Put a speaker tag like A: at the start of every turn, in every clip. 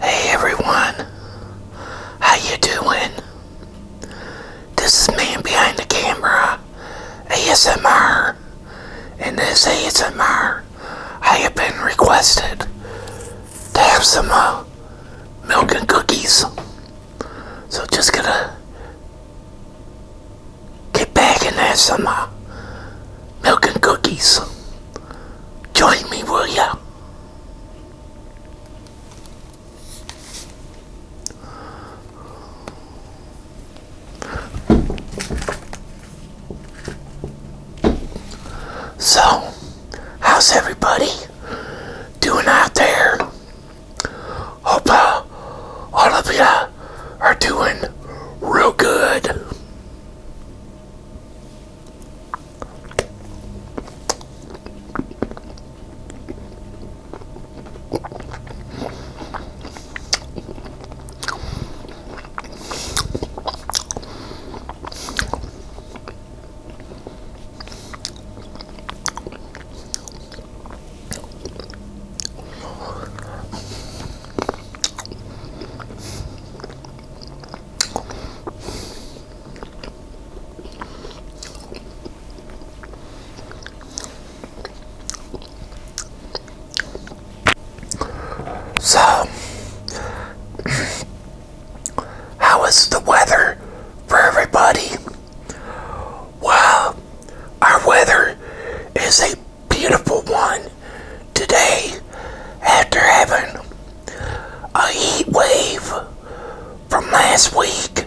A: Hey everyone, how you doing? This is Man Behind the Camera, ASMR, and this ASMR, I have been requested to have some uh, milk and cookies, so just gonna get back in there, some uh, milk and cookies. Join me, will ya? So, how's everybody doing out there? Hope uh, all of you are doing real good. So, how is the weather for everybody? Well, our weather is a beautiful one today after having a heat wave from last week.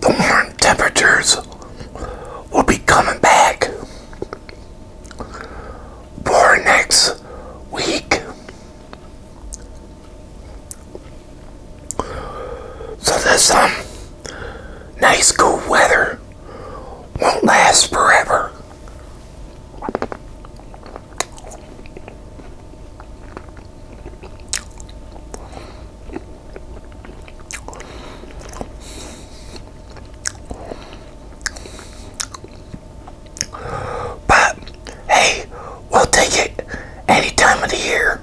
A: the warm temperatures will be coming back for next week. So this nice cool weather won't last forever. But hey, we'll take it any time of the year.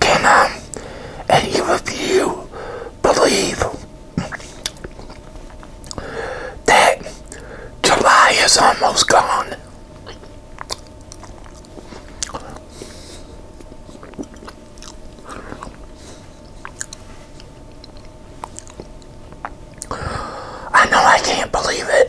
A: Can um, any you believe that July is almost gone. I know I can't believe it.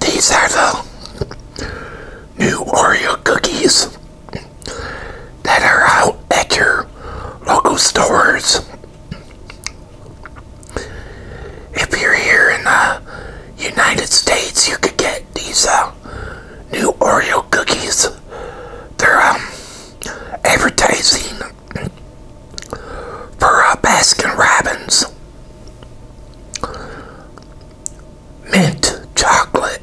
A: These are the new Oreo cookies that are out at your local stores. If you're here in the United States, you could get these uh, new Oreo cookies. They're um, advertising for uh, Baskin Robbins mint chocolate.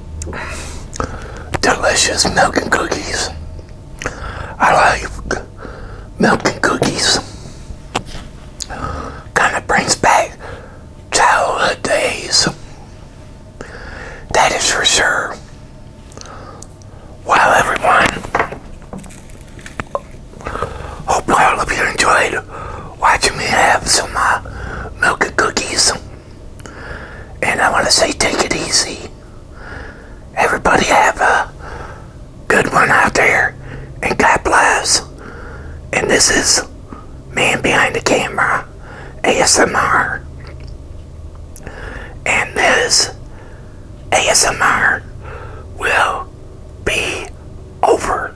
A: delicious milk and cookies. I like milk and cookies. Kind of brings back childhood days. That is for sure. Well, everyone, hope all of you enjoyed watching me have some uh, milk and cookies. And I want to say take it easy. Everybody have a good one out there. And God bless. And this is Man Behind the Camera ASMR. And this ASMR will be over.